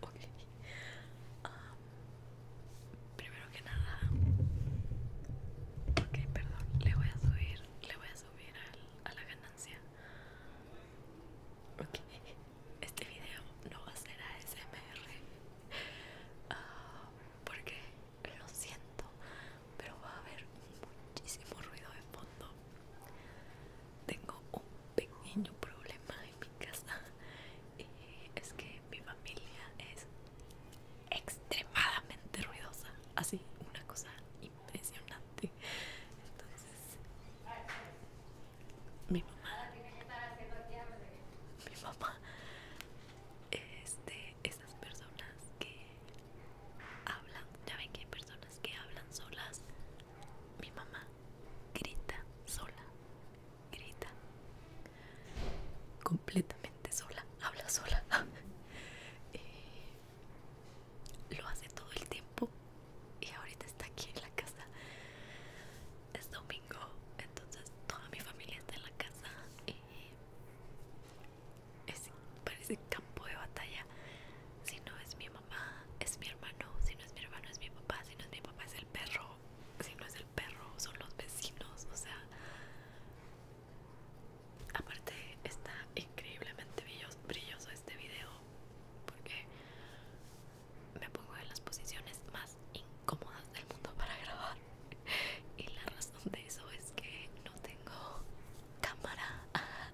Ok. primero que nada. Ok, perdón. Le voy a subir. Le voy a subir a la ganancia. Ok. Este video no va a ser ASMR. Ah, porque lo siento. Pero va a haber muchísimo ruido de fondo tengo un pequeño problema en mi casa y eh, es que mi familia es extremadamente ruidosa, así una cosa impresionante. Entonces, mi mamá, mi mamá es este, esas personas que hablan, ya ven que hay personas que hablan solas. Mi mamá grita sola, grita completamente sola, habla sola. Eh, lo hace todo el tiempo y ahorita está aquí en la casa. Es domingo, entonces toda mi familia está en la casa. y parece campo de batalla si no es mi mamá, es mi hermano. Si no es mi hermano, es mi papá. Si no es mi papá, es el perro. Si no es el perro, son los vecinos. O sea, aparte está increíblemente brilloso este video porque me pongo en las posiciones más incómodas del mundo para grabar. Y la razón de eso es que no tengo cámara.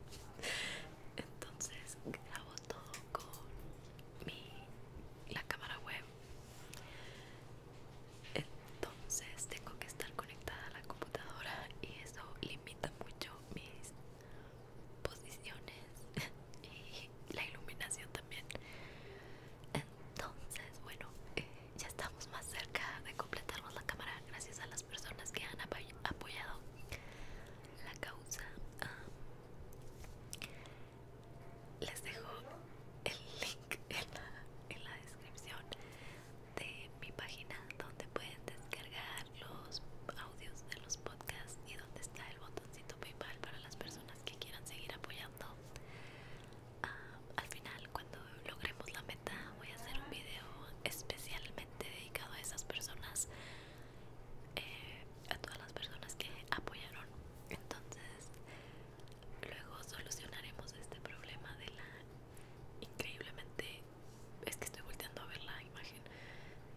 entonces grabo todo con mi, la cámara web entonces tengo que estar conectada a la computadora y eso limita mucho mis posiciones y la iluminación también entonces bueno eh, ya estamos más cerca de completarnos la cámara gracias a las personas que han apoyado la causa ah, les dejo el link en la, descripción de mi página donde pueden descargar los audios de los podcasts y donde está el botoncito paypal para las personas que quieran seguir apoyando ah, al final cuando logremos la meta voy a hacer un video especialmente dedicado a esas personas eh, a todas las personas que apoyaron entonces luego solucionaremos este problema de la increíblemente es que estoy volteando a ver la imagen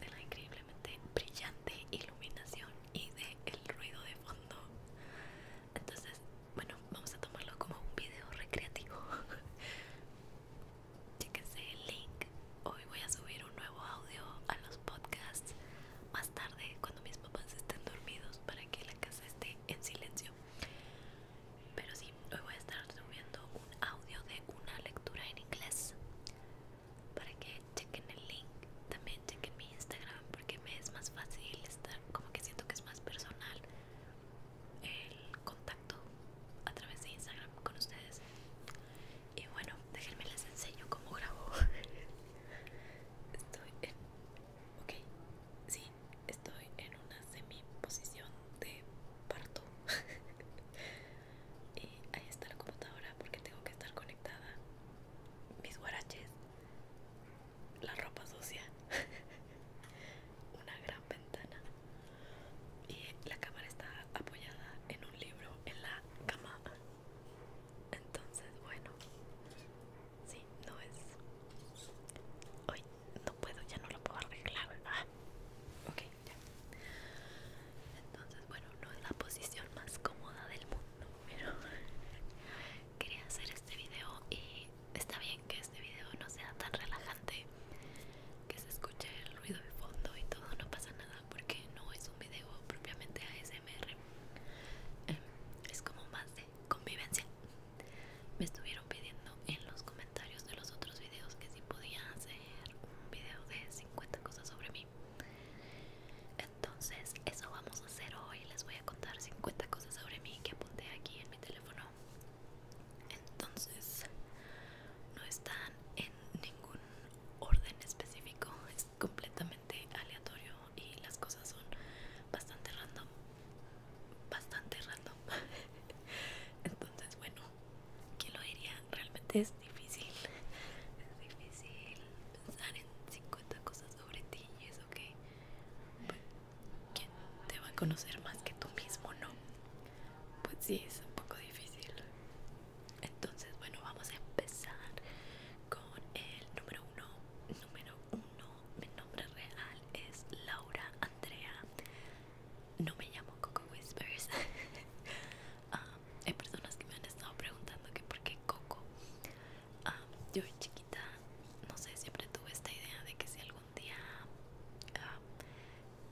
de la increíblemente brillante iluminación y de el ruido de fondo entonces bueno vamos a tomarlo como un video recreativo Chéquense el link. Hoy voy a subir un nuevo audio a los podcasts más tarde cuando mis papás estén dormidos para que la casa esté en silencio. Pero sí, hoy voy a estar subiendo un audio de una lectura en inglés para que chequen el link. También chequen mi Instagram porque me es más fácil estar, como que siento que es más personal el contacto a través de Instagram con ustedes. Y bueno, déjenme les enseño cómo grabo. Estoy en. Ok, sí, estoy en una semi-posición de parto. y ahí está la computadora porque tengo que estar conectada. Mis guaraches, la ropa sucia, una gran ventana y la cámara está apoyada en un libro en la cama entonces bueno sí no es hoy no puedo ya no lo puedo arreglar ah, ya entonces bueno no es la posición más cómoda del mundo pero quería hacer este video y está bien que este video no sea tan relajante que se escuche el ruido de fondo y todo no pasa nada porque no es un video propiamente ASMR em, es como más de convivencia me estuvieron pidiendo en los comentarios de los otros videos que si podía hacer un video de 50 cosas sobre mí entonces eso vamos a hacer hoy les voy a contar 50 cosas sobre mí que apunté aquí en mi teléfono entonces no están en ningún orden específico es completamente aleatorio y las cosas son bastante random bastante random entonces bueno ¿quién lo diría? realmente es difícil es difícil pensar en 50 cosas sobre ti y eso que ¿quién te va a conocer más que tú mismo, no? pues sí es un poco difícil entonces bueno vamos a empezar con el número uno número uno mi nombre real es Laura Andrea no me llamo Coco Whispers ah, hay personas que me han estado preguntando que por qué Coco ah, Yo yo chiquita no sé siempre tuve esta idea de que si algún día ah,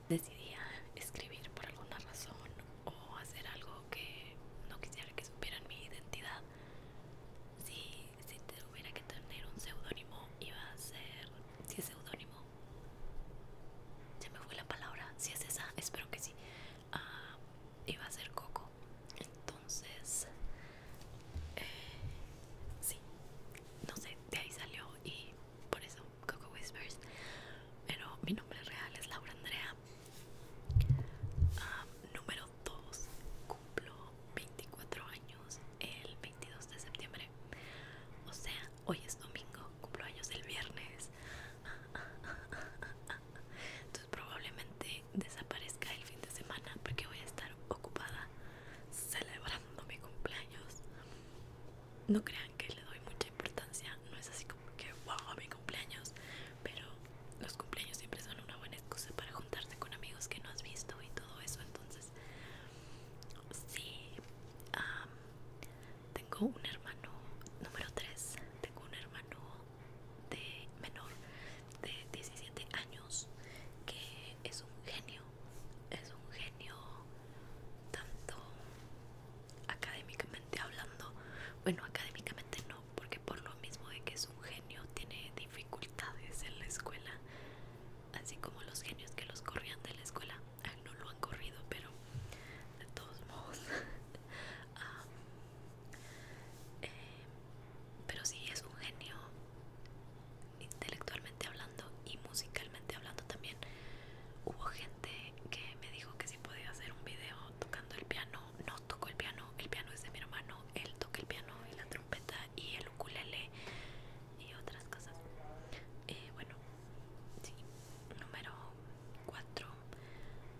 decidía escribir por alguna razón o hacer algo que no quisiera que supieran mi identidad, si, tuviera que tener un seudónimo, iba a ser. Si es seudónimo, se me fue la palabra. Si es esa, espero que sí. Ah, iba a ser Coco. Entonces, eh, sí, no sé, de ahí salió y por eso Coco Whispers, pero mi nombre real es Laura Andrea. Ah, número 2, cumplo 24 años el 22 de septiembre. O sea, hoy es domingo, cumplo años el viernes. Entonces probablemente desaparezca el fin de semana porque voy a estar ocupada celebrando mi cumpleaños no crean que le doy mucha importancia, no es así como que wow, mi cumpleaños, pero los cumpleaños siempre son una buena excusa para juntarse con amigos que no has visto y todo eso, entonces sí, tengo un hermano número 3, tengo un hermano menor de 17 años que es un genio, es un genio tanto académicamente hablando, bueno, académicamente no, porque por lo mismo de que es un genio tiene dificultades en la escuela, así como los genios que los corrían de la escuela, no lo han corrido, pero de todos modos. Ah, eh, pero sí es un genio intelectualmente hablando y musicalmente hablando también Hubo gente que me dijo que si podía hacer un video tocando el piano. No toco el piano, el piano es de mi hermano. Él toca el piano y la trompeta y el ukulele y otras cosas. Eh, bueno, sí. Número 4.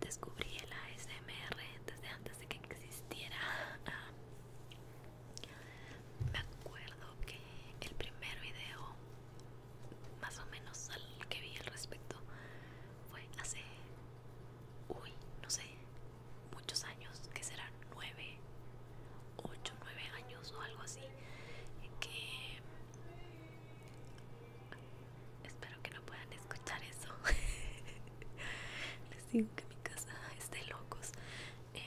Descubrí el ASMR desde antes de que existiera. me acuerdo que el primer video más o menos al que vi al respecto fue hace, uy, no sé, muchos años, que serán nueve, ocho, nueve años o algo así, que espero que no puedan escuchar eso. Les digo que mi casa esté locos. Eh,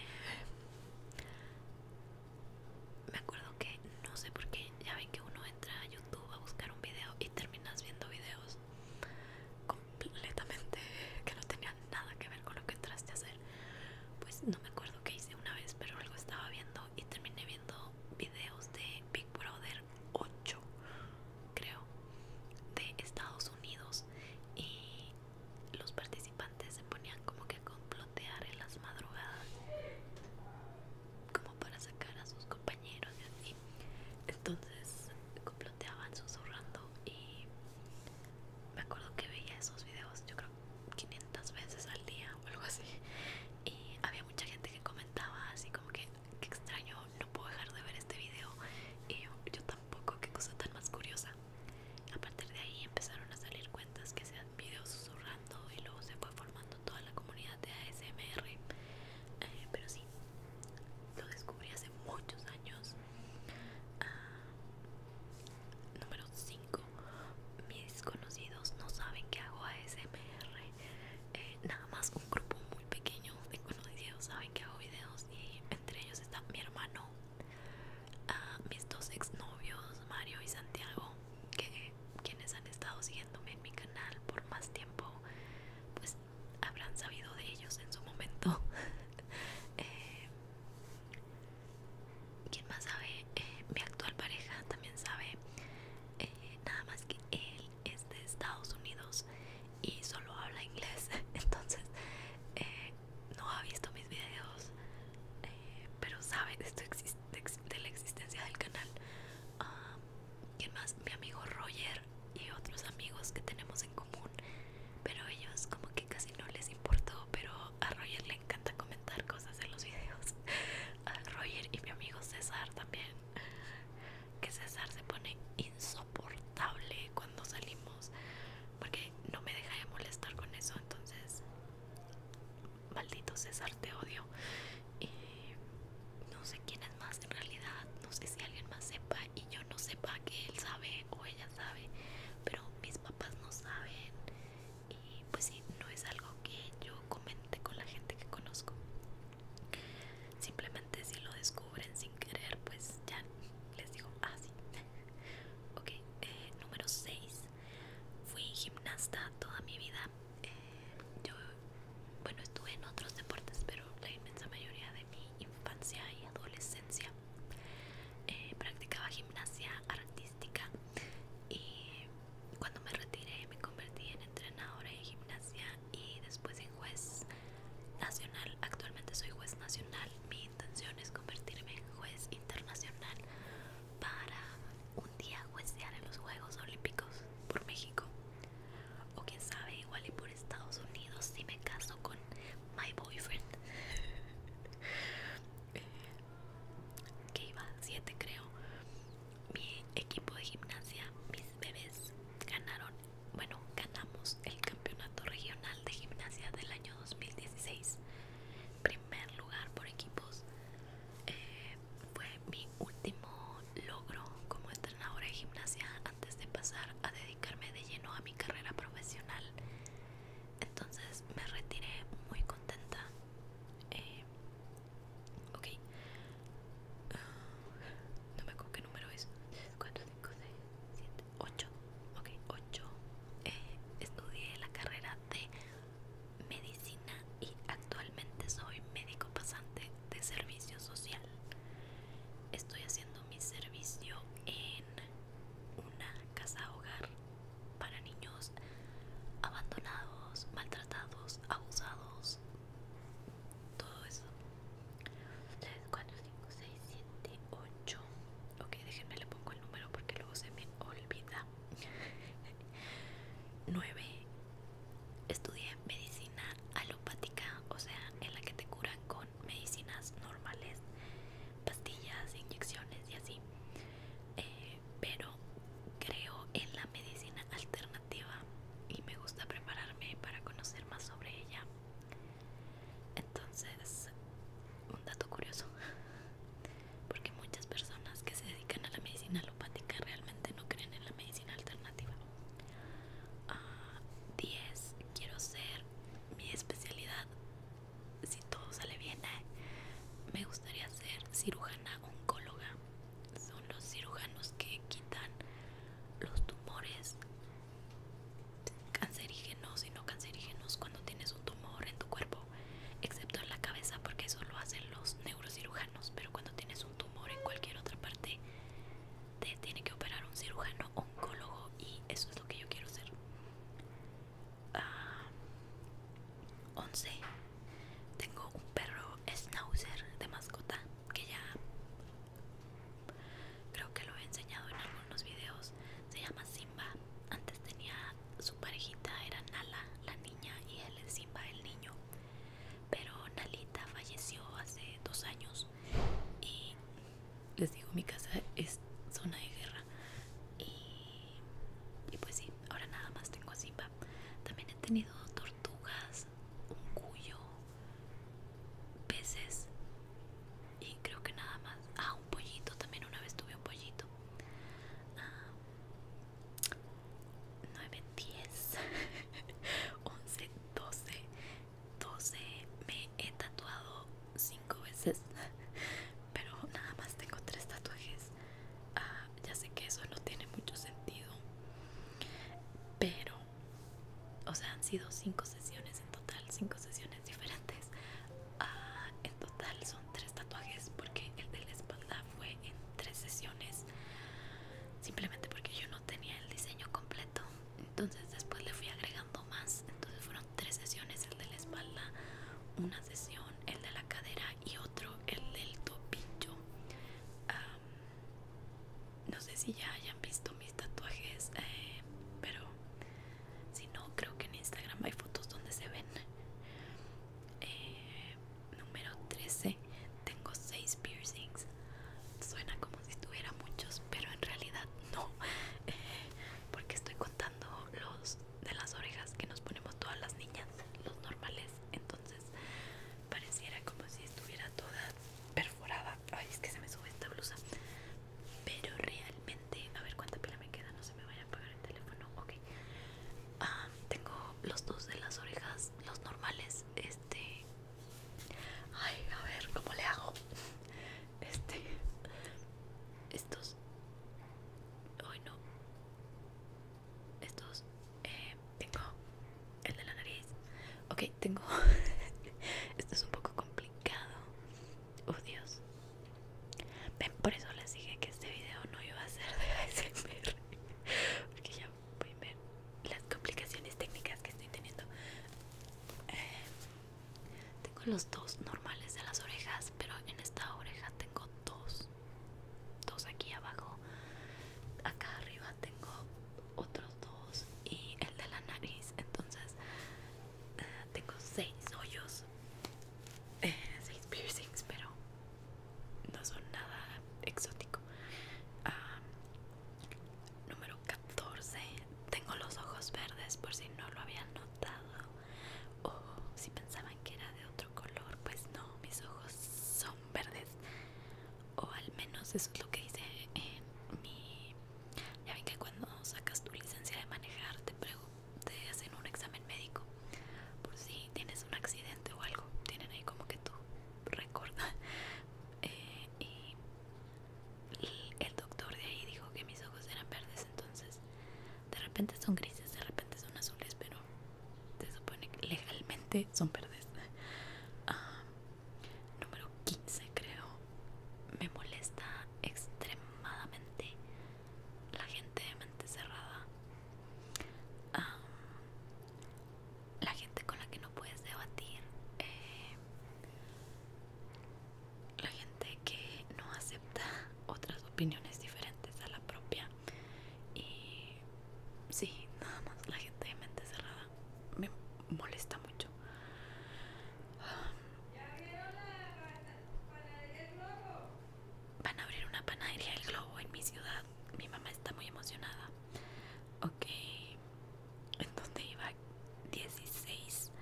me acuerdo que no sé por qué, ya ven que uno entra a YouTube a buscar un video y terminas viendo videos completamente que no tenían nada que ver con lo que entraste a hacer. Pues no me acuerdo que hice una vez, pero algo estaba viendo y terminé viendo videos de Big Brother 8, creo, de Estados Unidos y los participantes participantes se ponían como que a complotear en las madrugadas como para sacar a sus compañeros y así entonces comploteaban susurrando y me acuerdo que veía esos videos yo creo 500 veces al día o algo así y había mucha gente que comentaba así como que qué extraño no puedo dejar de ver este video y yo, yo tampoco qué cosa tan más curiosa a partir de ahí empezaron a salir cuentas que hacían videos susurrando y luego se fue formando toda la comunidad de ASMR. Eh, pero sí, lo descubrí hace muchos años. Ah, número 5. Mis desconocidos no saben que hago ASMR. Eh, nada más un grupo muy pequeño de conocidos saben que hago videos y entre ellos está mi hermano a mis dos exnovios, Mario y Santiago, que quienes han estado siguiéndome en mi canal por más tiempo, pues habrán sabido de ellos en su momento. Eh, quién más sabe, eh, mi actual pareja también sabe, eh, nada más que él es de Estados Unidos y solo habla inglés, entonces no ha visto mis videos, eh, pero sabe de, la existencia del canal. Y ah, ¿Quién más? Mi amigo Roger y otros amigos que tenemos en común, pero ellos como que casi no les importó, pero a Roger le encanta comentar cosas en los videos. A Roger y mi amigo César también, que César se pone insoportable cuando salimos, porque no me deja de molestar con eso, entonces maldito César, te odio. no sé quién es más en realidad, no sé si alguien más sepa y yo no sepa que él sabe o ella sabe, pero mis papás no saben y pues sí, no es algo que yo comente con la gente que conozco. Simplemente si lo descubren sin querer, pues ya les digo, así ah, ok, eh, número 6 fui gimnasta toda mi vida. Eh, yo, bueno, estuve en otros deportes, pero la inmensa mayoría de mi infancia y adolescencia eh, practicaba gimnasia artística y cuando me retiré me convertí en entrenadora de gimnasia y después en juez nacional. Actualmente soy juez nacional. Mi intención es convertirme en juez internacional para un día juecear en los Juegos Olímpicos por México. O quién sabe, igual y por Estados Unidos si me caso con my boyfriend. que iba 7 creo. Mi equipo de gimnasia, mis bebés, ganaron, bueno, ganamos el campeonato regional de gimnasia del año 2016 primer lugar por equipos eh, fue mi último logro como entrenadora de gimnasia antes de pasar a dedicarme de lleno a mi carrera profesional entonces me retiré muy contenta eh, ok ah, no me acuerdo qué número es 4, 5, 7, 8 ok, 8 eh, estudié la carrera de Medicina y actualmente soy médico pasante de servicio social. Estoy haciendo mi servicio en una casa hogar para niños abandonados, maltratados, abusados, todo eso. 3, 4, 5, 6, 7, 8. Ok, déjenme le pongo el número porque luego se me olvida. 9. Estudié medicina alopática, o sea, en la que te curan con medicinas normales, pastillas, inyecciones y así. Eh, pero creo en la medicina alternativa y me gusta prepararme para conocer más sobre ella. Entonces, un dato curioso, porque muchas personas que se dedican a la medicina alopática realmente no creen en la medicina alternativa. 10. Ah, quiero ser mi especialidad. Si todo sale bien, ¿eh? me gustaría ser cirujana oncóloga. Son los cirujanos que quitan los tumores cancerígenos y no cancerígenos cuando tienes un tumor en tu cuerpo excepto en la cabeza porque eso lo hacen los neurocirujanos, pero cuando tienes un tumor en cualquier otra parte te tiene que operar un cirujano oncólogo y eso es lo que yo quiero hacer 11. Ah, Tengo un perro schnauzer de mascota que ya creo que lo he enseñado en algunos videos. Se llama así antes tenía su parejita, era Nala, la niña, y él es Simba, el niño. Pero Nalita falleció hace dos años y les digo, mi casa es zona de guerra. Y, y pues sí, ahora nada más tengo a Simba. También he tenido tortugas, un cuyo, peces y creo que nada más ah un pollito también una vez tuve un pollito 9 10 11 12 12 me he tatuado 5 veces pero nada más tengo 3 tatuajes ah, ya sé que eso no tiene mucho sentido pero o sea han sido 5 sesiones en total 5 sesiones diferentes Ah, en total son tres tatuajes porque el de la espalda fue en tres sesiones simplemente porque yo no tenía el diseño completo entonces después le fui agregando más entonces fueron tres sesiones el de la espalda una sesión el de la cadera y otro el del topillo no sé si ya hayan visto mis tatuajes eh, pero si no, creo que en Instagram hay fotos donde se ven. Eh, número 13. Tengo 6 piercings. Suena como si estuviera muchos, pero en realidad no. porque estoy contando los de las orejas que nos ponemos todas las niñas, los normales. Entonces pareciera como si estuviera toda perforada. Ay, es que se me sube esta blusa pero realmente a ver cuánta pila me queda no se me vaya a apagar el teléfono ok ah, tengo los dos de las orejas los normales este ay a ver cómo le hago este estos hoy no estos eh, tengo el de la nariz ok tengo esto es un poco complicado Oh Dios. Ven, por eso les dije que este video no iba a ser de ASMR. Porque ya pueden ver las complicaciones técnicas que estoy teniendo. Eh, tengo los dos normales de las orejas, pero en esta oreja tengo dos. Dos aquí abajo. Acá arriba tengo otros dos y el de la nariz. Entonces tengo seis hoyos, eh, seis piercings, pero no son nada exótico. número 14, tengo los ojos verdes por si no lo habían notado o si pensaban que era de otro color, pues no, mis ojos son verdes o al menos eso es lo que hice en eh, mi... Ya ven que cuando sacas tu licencia de manejar te pregunto te hacen un examen médico por si tienes un accidente o algo. Tienen ahí como que tú recuerdas eh, y, el doctor de ahí dijo que mis ojos eran verdes, entonces de repente son grises, de repente son azules, pero se supone que legalmente son verdes. Ah, número 15 creo. Me molesta extremadamente la gente de mente cerrada, la gente con la que no puedes debatir, eh, la gente que no acepta otras opiniones diferentes a la propia y sí, nada más la gente de mente cerrada me molesta mucho. Van a abrir una panadería del Globo en mi ciudad. Mi mamá está muy emocionada. Ok. entonces iba? 16.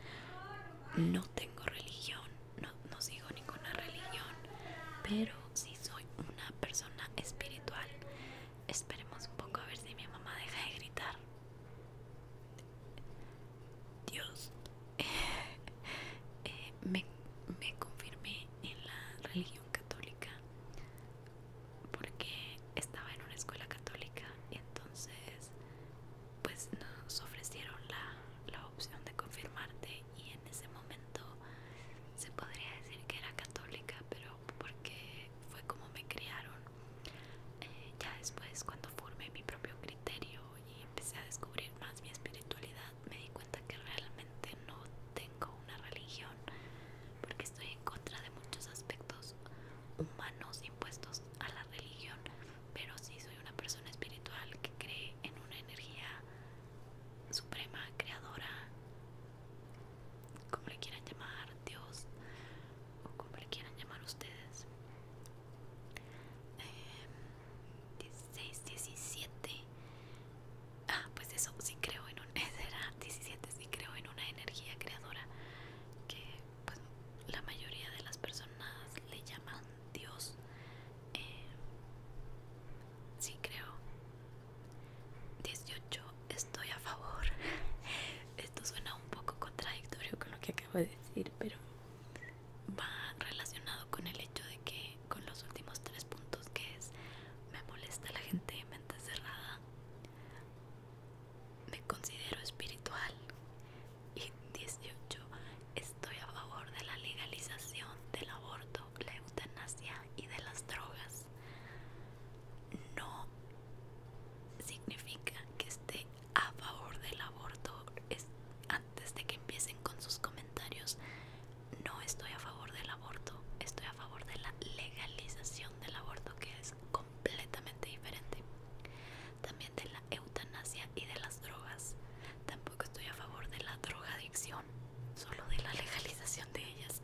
No tengo religión. No, no sigo ninguna religión. Pero sí soy una persona espiritual. Esperemos un poco a ver si mi mamá deja de gritar. Dios eh, me, confirmé en la religión católica porque estaba en una escuela católica y entonces pues nos ofrecieron la, opción de confirmarte y en ese momento se podría decir que era católica pero porque fue como me criaron eh, ya después cuando formé mi propio criterio y empecé a descubrir más mi espiritualidad, me di cuenta que realmente no tengo una religión porque estoy en contra de muchos aspectos humanos impuestos a la religión, pero sí soy una persona espiritual que cree en una energía suprema, creadora, como le quieran llamar, Dios o como le quieran llamar ustedes. 16, em, 17 ah pues eso sí creo en un 17 sí creo en una energía creadora que pues, la mayoría de las personas le llaman Dios em, sí creo 18 estoy a favor esto suena un poco contradictorio con lo que acabo de decir pero va relacionado con el hecho de que con los últimos tres puntos que es me molesta la gente mente cerrada me considero espiritual y 18 estoy a favor de la legalización del aborto la eutanasia y de las drogas no significa que esté a favor del aborto es, antes de que empiecen con sus comentarios no estoy a favor del aborto estoy a favor de la legalización del aborto que es completamente diferente también de la eutanasia y de las drogas tampoco estoy a favor de la drogadicción solo de la legalización de ellas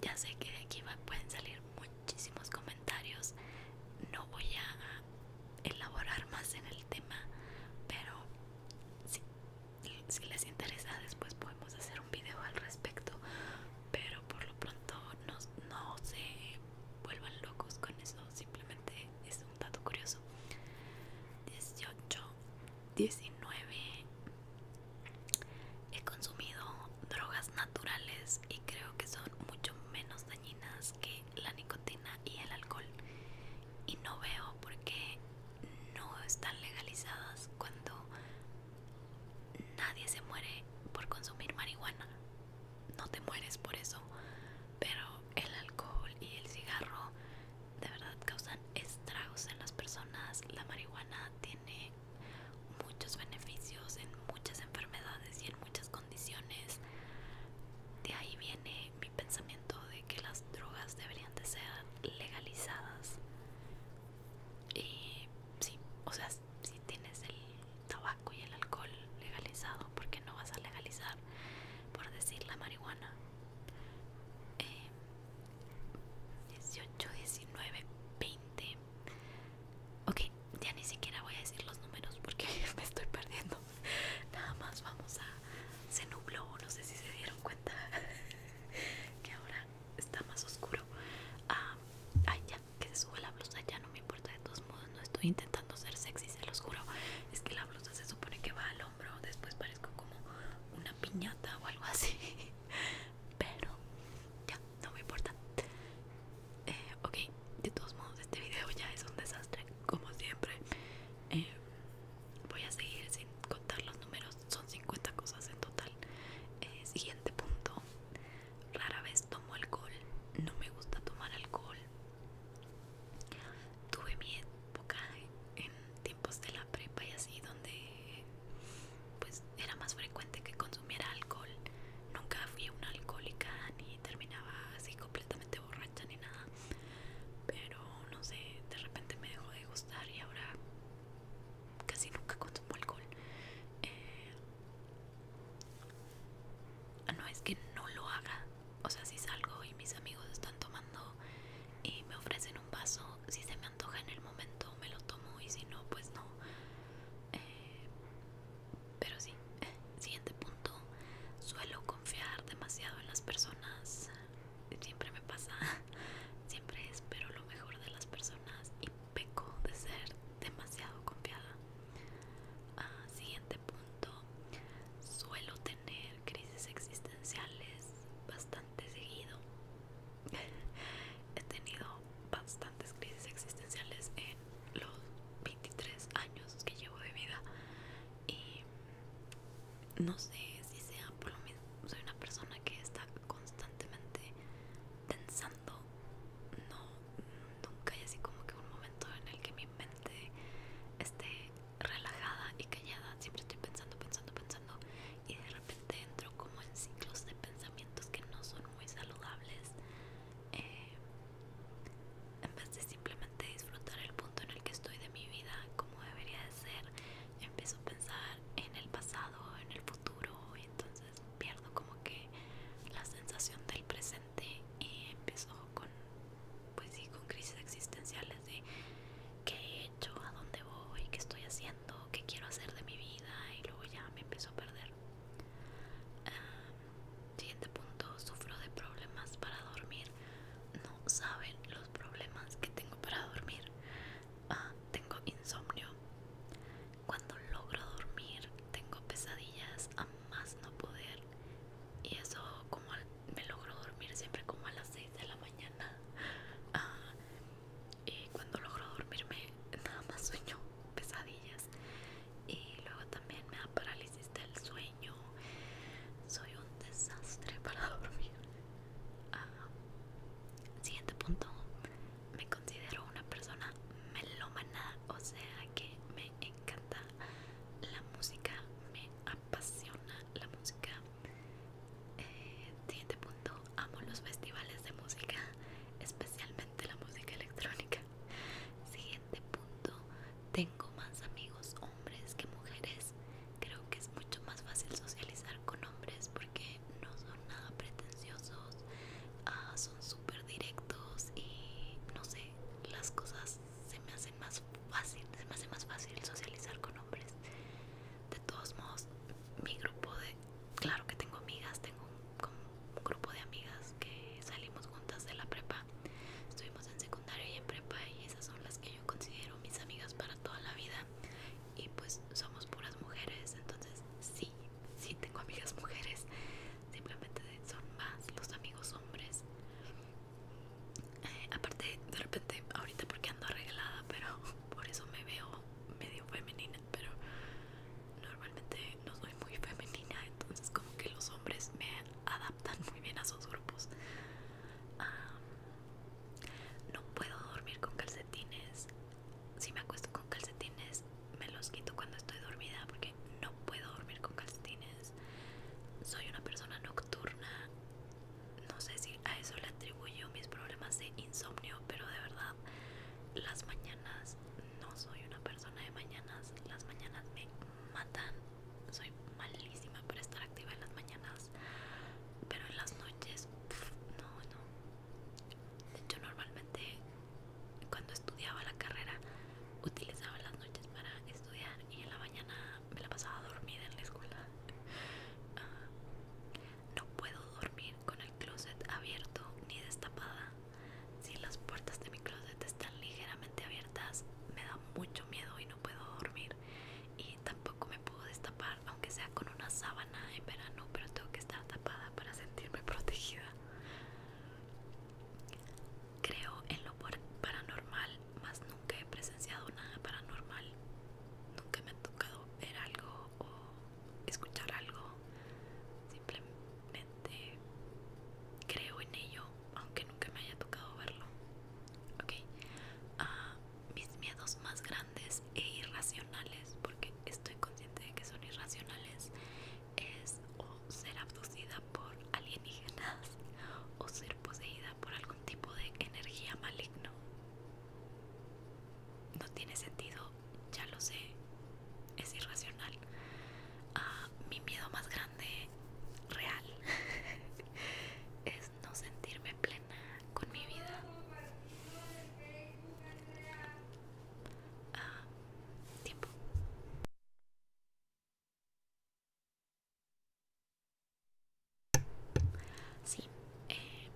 ya sé que de aquí pueden salir muchas muchísimos comentarios. No voy a elaborar más en el tema, pero si, les interesa, después podemos hacer un video al respecto. Pero por lo pronto, no, se vuelvan locos con eso, simplemente es un dato curioso. 18, 19. He consumido drogas naturales y creo que son mucho menos que la nicotina y el alcohol y no veo por qué no están legalizadas cuando nadie se muere por consumir marihuana no te mueres por eso pero el alcohol y el cigarro de verdad causan estragos en las personas la marihuana tiene muchos beneficios en muchas enfermedades y en muchas cosas condiciones. De ahí viene mi pensamiento de que las drogas deberían de ser legalizadas. sí, o sea, si tienes el tabaco y el alcohol legalizado, ¿por qué no vas a legalizar, por decir, la marihuana? 18, 19, 20, Ok, ya ni siquiera voy a decir los números porque me estoy perdiendo. Nada más vamos a... Se nubló, no sé si se dieron cuenta que ahora está más oscuro. Ah, ay, ya, que se sube la blusa, ya no me importa de todos modos, no estoy intentando ser sexy, se los juro. Es que la blusa se supone que va al hombro, después parezco como una piñata o algo así. Pero ya, no me importa. Eh, ok, de todos modos este video ya es un desastre como siempre eh, voy a seguir sin contar los números son 50 cosas en total eh, siguiente punto rara vez tomo alcohol no me gusta tomar alcohol tuve mi época en tiempos de la prepa y así donde pues era más frecuente que consumiera alcohol nunca fui una alcohólica ni terminaba así completamente borracha ni nada pero no sé de repente me dejó de gustar y ahora casi nunca consumo alcohol eh, no es que no lo haga o sea si salgo y mis amigos están tomando y me ofrecen un vaso si se me antoja en el momento me lo tomo y si no pues no eh, pero sí, siguiente punto, suelo confiar demasiado en las personas, siempre me pasa, siempre espero lo mejor de las personas y peco de ser demasiado confiada. Ah, siguiente punto, suelo tener crisis existenciales bastante seguido. He tenido bastantes crisis existenciales en los 23 años que llevo de vida y no sé si sea por lo mismo soy una persona que está constantemente pensando no nunca hay así como que un momento en el que mi mente esté relajada y callada siempre estoy pensando pensando pensando y de repente entro como en ciclos de pensamientos que no son muy saludables eh, en vez de simplemente disfrutar el punto en el que estoy de mi vida como debería de ser, empiezo a pensar en el pasado, en el futuro y entonces pierdo como que la sensación del presente y empiezo con pues sí, con crisis existenciales de qué he hecho, a dónde voy, qué estoy haciendo, qué quiero hacer de mi vida y luego ya me empiezo a perder. Ah, Siguiente punto, sufro de problemas para dormir. No saben los problemas que tengo para dormir. Ah, tengo insomnio. Cuando logro dormir, tengo pesadillas a más no poder. Y eso como me logro dormir siempre como a las 6 de la mañana. Ah, y cuando logro dormirme, nada más sueño pesadillas y luego también me da parálisis del sueño soy un desastre para dormir ah, siguiente punto me considero una persona melómana o sea que me encanta la música me apasiona la música eh, siguiente punto amo los festivales de música especialmente la música electrónica Siguiente punto, tengo más amigos hombres que mujeres. Creo que es mucho más fácil socializar con hombres porque no son nada pretenciosos, ah, son súper directos y no sé, las cosas se me hacen más fácil, se me hace más fácil socializar con hombres. De todos modos, mi grupo de claro que tengo amigas, tengo un, grupo de amigas que salimos juntas de la prepa. Estuvimos en secundaria y en prepa y esas son las que yo considero mis amigas para toda la vida. Y pues somos puras mujeres, entonces sí, sí tengo amigas mujeres. Simplemente son más los amigos hombres. Eh, aparte, de repente, ahorita porque ando arreglada, pero por eso me veo medio femenina pero normalmente no soy muy femenina, entonces como que los hombres me adaptan muy bien a sus grupos. Ah, no puedo dormir con calcetines. Si me acuesto con calcetines, me los quito cuando estoy dormida porque no puedo dormir con calcetines. Soy una persona nocturna. No sé si a eso le atribuyo mis problemas de insomnio, pero de verdad las mañanas no soy una persona de mañanas, las mañanas me matan, soy malísima por estar activa en las mañanas, pero en las noches, no, no. De normalmente cuando estudiaba la carrera utilizaba las noches para estudiar y en la mañana me la pasaba dormida en la escuela. Ah, no puedo dormir con el closet abierto ni destapada si las puertas de mi closet están ligeramente abiertas, me da mucho miedo y no puedo dormir. Y tampoco me puedo destapar, aunque sea con una sábana en verano, pero tengo que estar tapada para sentirme protegida. Creo en lo paranormal, mas nunca he presenciado nada paranormal. Nunca me ha tocado ver algo o escuchar algo. simplemente creo en ello, aunque nunca me haya tocado verlo. Ok, ah, mis miedos más grandes e irracionales, porque estoy consciente de que son irracionales, es o ser abducida por alienígenas o ser poseída por algún tipo de energía maligna. No tiene sentido ya lo sé, es irracional. Ah, mi miedo más grande, real, es no sentirme plena con mi vida. Ah, tiempo. Sí, eh,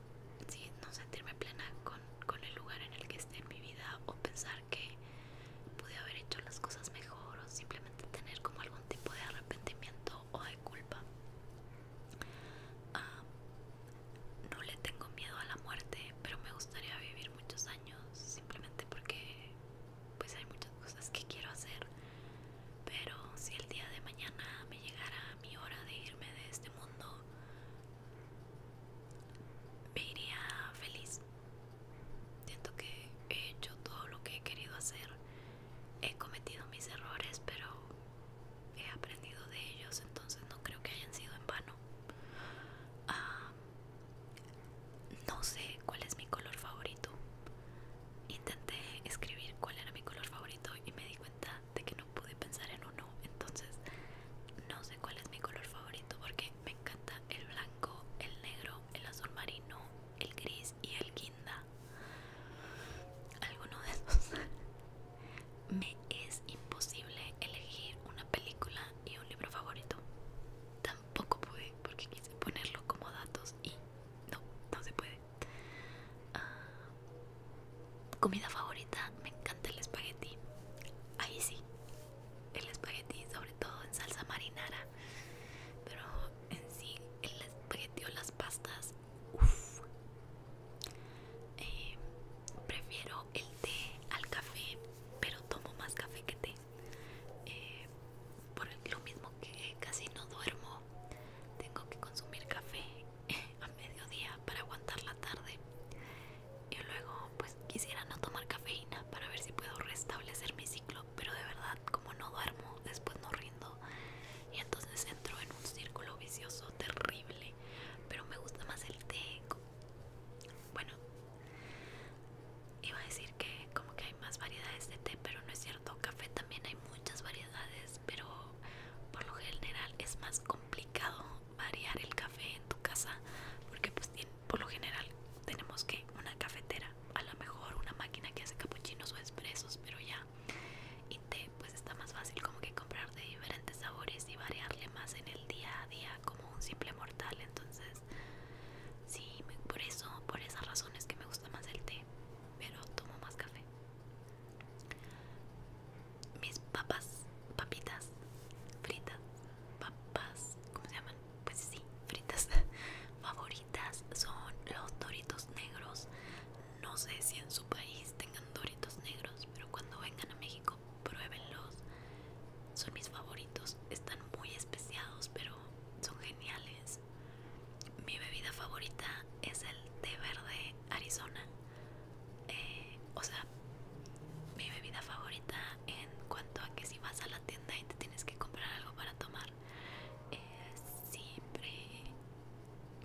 sí, no sentirme plena con con, el lugar en el que esté en mi vida o pensar que pude haber hecho las cosas mejor o simplemente tener como algún tipo de arrepentimiento o de culpa. Ah, no le tengo miedo a la muerte, pero me gustaría vivir muchos años simplemente porque pues hay muchas cosas que quiero hacer. Pero si el día de mañana me llegara mi hora de irme de este mundo, me iría feliz. Siento que he hecho todo lo que he querido hacer. He cometido mis errores, pero he aprendido de ellos, entonces no creo que hayan sido en vano. Ah, no sé cuál es mi color favorito. Intenté escribir cuál era mi color favorito y me di cuenta de que no pude pensar en uno entonces no sé cuál es mi color favorito porque me encanta el blanco el negro el azul marino el gris y el guinda alguno de esos me es imposible elegir una película y un libro favorito tampoco pude porque quise ponerlo como datos y no no se puede ah, comida favorita, me encanta el espagueti. Ahí sí, el espagueti, sobre todo en salsa marinara. Pero en sí, el espagueti o las pastas, uff. Eh, prefiero el té al café, pero tomo más café que té. Eh, por lo mismo que casi no duermo, tengo que consumir café a mediodía para aguantar la tarde y luego pues quisiera no tomar cafeína para ver si puedo restablecer mi ciclo pero de verdad como no duermo después no rindo y entonces entro en un círculo vicioso terrible pero me gusta más el té bueno iba a decir que como que hay más variedades de té pero no es cierto café también hay muchas variedades pero por lo general es más complicado variar el café en tu casa porque pues por lo general tenemos que una cafetera a lo mejor una máquina que hace capuchinos o espresos pero ya y té pues está más fácil como que comprar de diferentes sabores y variarle más en el día a día como un simple mortal entonces sí por eso por esas razones que me gusta más el té pero tomo más café mis papas, papitas, fritas, papas, ¿cómo se llaman? Pues sí, fritas favoritas son los doritos negros. No sé si en su país tengan doritos negros, pero cuando vengan a México pruébenlos. Son mis favoritos, están muy especiados, pero son geniales. Mi bebida favorita es el té verde Arizona. Eh, o sea, mi bebida favorita en cuanto a que si vas a la tienda y te tienes que comprar algo para tomar, siempre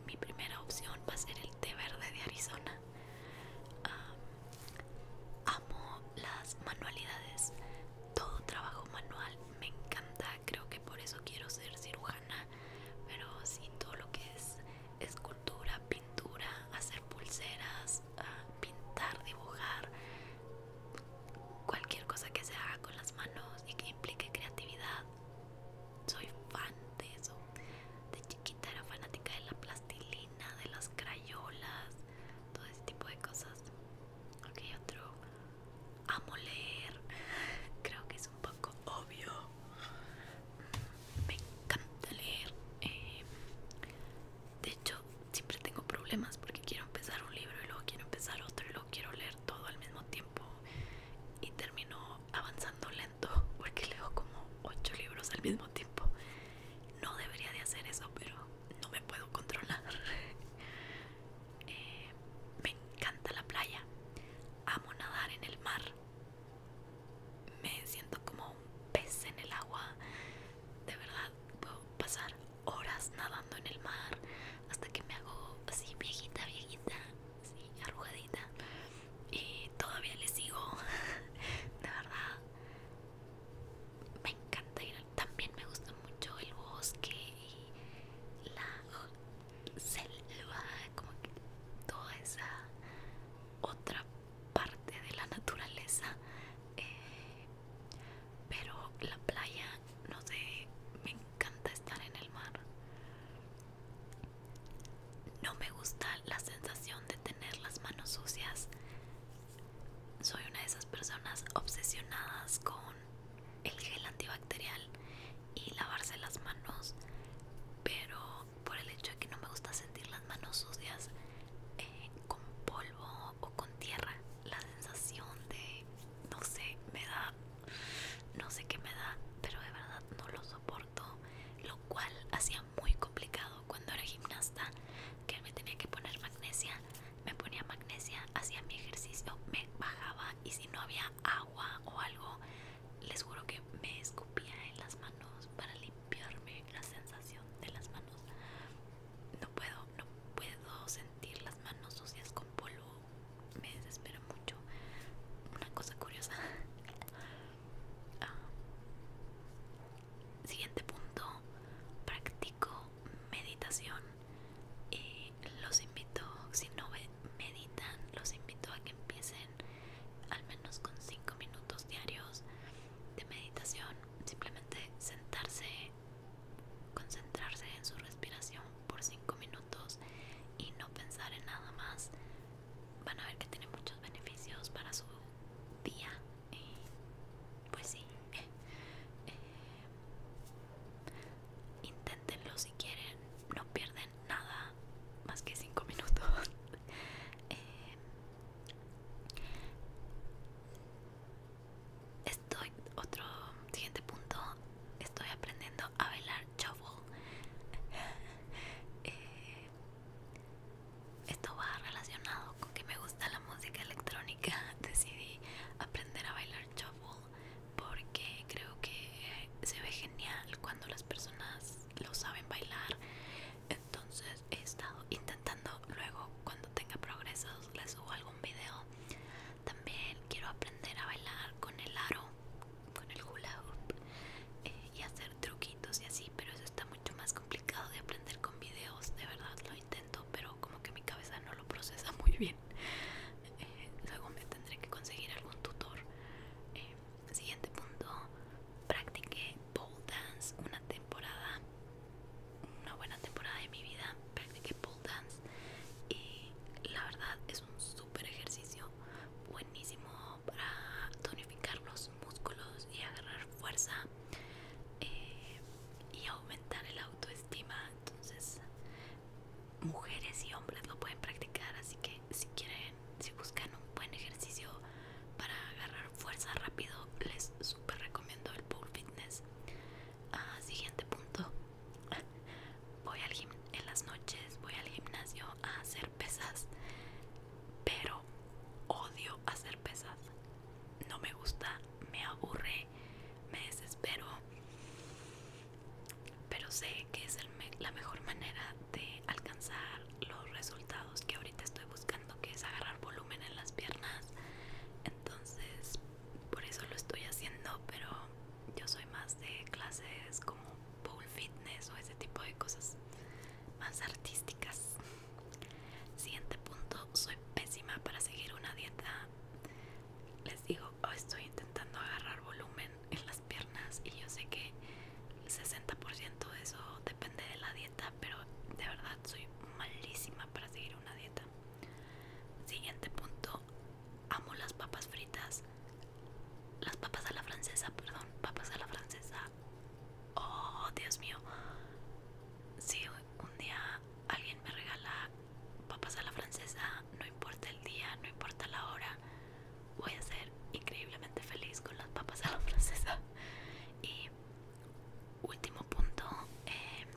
mi primera opción va a ser el té verde de Arizona. amo las manualidades, todo trabajo manual me encanta, creo que por eso quiero ser cirujana, pero sí todo lo que es escuela pintura, hacer pulseras, ah, pintar, dibujar, cualquier cosa que se haga con las manos y que implique creatividad. Soy fan de eso. De chiquita era fanática de la plastilina, de las crayolas, todo ese tipo de cosas. Ok, otro. Amo leer. Creo que es un poco obvio me encanta leer. Eh, de hecho, siempre tengo problemas porque quiero empezar un libro y luego quiero empezar otro y luego quiero leer todo al mismo tiempo y termino avanzando lento porque leo como ocho libros al mismo tiempo. No debería de hacer eso, pero no me puedo controlar. Eh, me encanta la playa. Amo nadar en el mar me siento como un pez en el agua. De verdad, puedo pasar horas nadando en el mar hasta que me hago así viejita, viejita, así arrugadita. Y todavía le sigo. De verdad, me encanta ir. También me gusta mucho el bosque y la selva, como que toda esa otra parte de la naturaleza eh, pero la playa no sé me encanta estar en el mar no me gusta la sensación de tener las manos sucias soy una de esas personas obsesionadas con el gel antibacterial y lavarse las manos pero por el hecho de que no me gusta sentir las manos sucias eh, con polvo o con tierra. La sensación de, no sé, me da, no sé qué me da, pero de verdad no lo soporto. Lo cual hacía muy complicado cuando era gimnasta, que me tenía que poner magnesia. Me ponía magnesia, hacía mi ejercicio, me bajaba y si no había agua o algo les juro que me escupía en las manos para limpiarme la sensación de las manos. No puedo, no puedo sentir las manos sucias con polvo. Me desespera mucho. Una cosa curiosa. Ah. siguiente punto. Practico meditación. Y eh, los invito, si no meditan, los invito a que empiecen al menos con 5 minutos diarios de meditación, simplemente sentarse, concentrarse en su respiración por 5 minutos y no pensar en nada más, van a ver que tiene muchos beneficios para su día. pues sí, eh, eh, inténtenlo si quieren, no pierden nada más que 5 minutos eh, estoy otro siguiente punto estoy aprendiendo a bailar shuffle eh, esto va relacionado con que me gusta la música electrónica decidí aprender a bailar shuffle porque creo que se ve genial cuando las personas lo saben bailar. Entonces he estado intentando luego cuando tenga progresos les subo algún video. También quiero aprender a bailar con el aro, con el hula hoop eh, y hacer truquitos y así, pero eso está mucho más complicado de aprender con videos. De verdad lo intento, pero como que mi cabeza no lo procesa muy bien. Eh, luego me tendré que conseguir algún tutor eh, Siguiente punto, practiqué pole dance una temporada, una buena temporada de mi vida, practiqué pole dance y la verdad es un súper ejercicio, buenísimo para tonificar los músculos y agarrar fuerza eh, y aumentar el autoestima, entonces mujeres y hombres lo pueden practicar, así que si quieren si buscan un buen ejercicio para agarrar fuerza rápido, les super recomiendo el Pool Fitness. Ah, siguiente punto. Voy al gim en las noches, voy al gimnasio a hacer pesas, pero odio hacer pesas. No me gusta, me aburre, me desespero. Pero sé que es la mejor manera de alcanzar los resultados que ahorita estoy buscando, que es agarrar volumen en las piernas. Entonces, por eso lo estoy haciendo, pero yo soy más de clases como pole fitness o ese tipo de cosas más artísticas. Siguiente punto, soy pésima para seguir una dieta. Les digo, oh, estoy intentando agarrar volumen en las piernas y yo sé que el 60% de eso depende de la dieta, pero de verdad soy malísima para seguir una dieta. Siguiente punto, amo las papas fritas. Las papas a la francesa, perdón, papas a la francesa. Oh, Dios mío. Si un día alguien me regala papas a la francesa, no importa el día, no importa la hora, voy a ser increíblemente feliz con las papas a la francesa. Y último punto, em,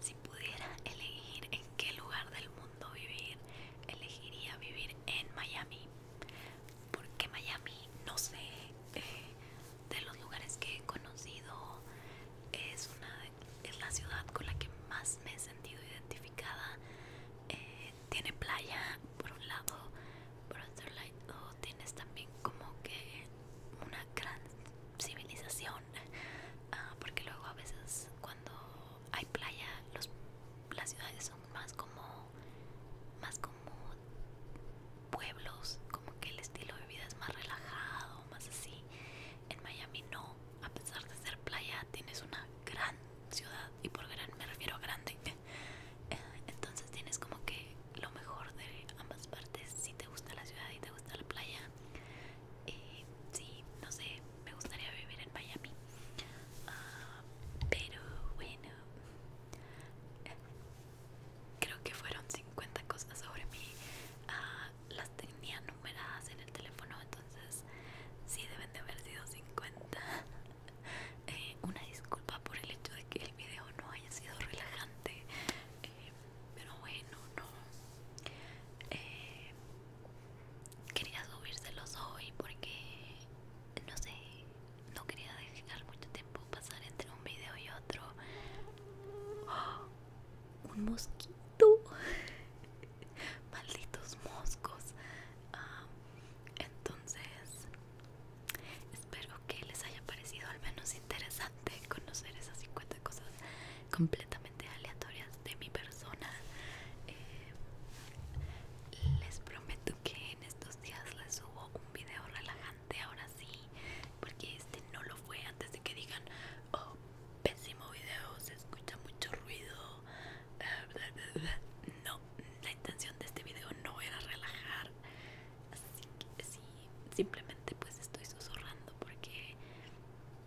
si pudiera elegir en qué lugar del mundo vivir, elegiría vivir en Miami. Porque Miami, no sé, eh, de los lugares que he conocido, es, una, es la ciudad con la que más me he sentido identificada. Eh, tiene playa por un lado, por otro lado tienes también como que una gran civilización, ah, porque luego a veces cuando hay playa los, las ciudades son más como, más como pueblos, como que el estilo de vida es más relajado, más así. En Miami no, a pesar de ser playa, tienes una gran ciudad y por gran me refiero a grande entonces tienes como que lo mejor de ambas partes si te gusta la ciudad y te gusta la playa eh, sí no sé me gustaría vivir en Miami ah, pero bueno eh, creo que fueron 50 cosas sobre mí ah, las tenía numeradas en el teléfono entonces si deben de haber sido 50 Eh, una disculpa por el hecho de que el video no haya sido relajante eh, pero bueno no eh, quería subírselos hoy porque no sé no quería dejar mucho tiempo pasar entre un video y otro ¡Oh! un mosquito malditos moscos Ah entonces, espero que les haya parecido al menos interesante conocer esas 50 cosas completamente aleatorias de mi persona. Eh, les prometo que en estos días les subo un video relajante, ahora sí, porque este no lo fue antes de que digan, oh, pésimo video, se escucha mucho ruido no, la intención de este video no era relajar. Así que sí, simplemente pues estoy susurrando porque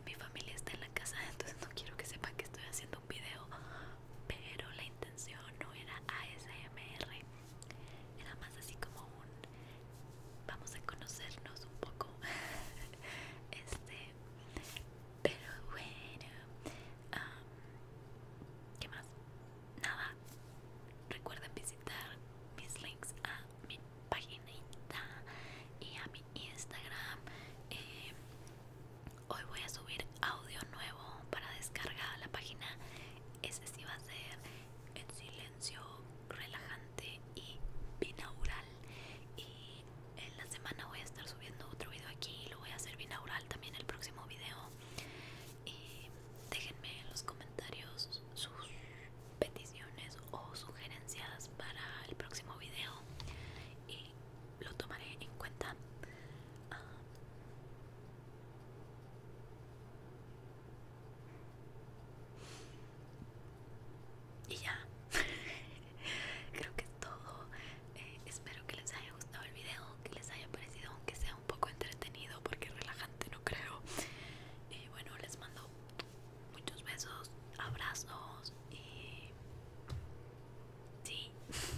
mi familia está en la casa, entonces no quiero que sepan que estoy haciendo un video. Pero la intención no era ASMR. Era más así como un vamos a conocernos un poco. Este pero bueno, um, ¿qué más? Nada. Recuerden visitar mis links a mi paginita y a mi Instagram. Eh, hoy voy a subir audio nuevo para descargar la página. Ese sí va a ser en silencio, relajante y binaural. Y en la semana voy a estar subiendo otro video aquí y lo voy a hacer binaural también el próximo video y déjenme en los comentarios sus peticiones o sugerencias para el próximo video y lo tomaré en cuenta ah. y ya creo que es todo. Eh, espero que les haya gustado el video, que les haya parecido, aunque sea un poco entretenido, porque relajante no creo. bueno, les mando muchos besos, abrazos y... Sí,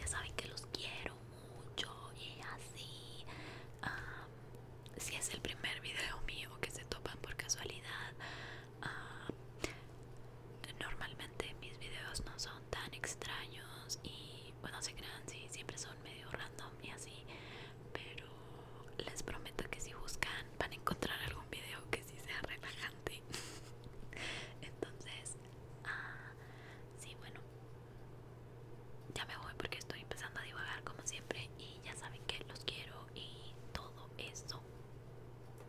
ya saben que los quiero mucho y así. Ah, si es el primer video mío que se topan por casualidad, Ah, normalmente mis videos no son tan extraños y bueno se crean si siempre son medio random y así pero les prometo que si buscan van a encontrar algún video que sí sea relajante entonces ah, sí bueno ya me voy porque estoy empezando a divagar como siempre y ya saben que los quiero y todo eso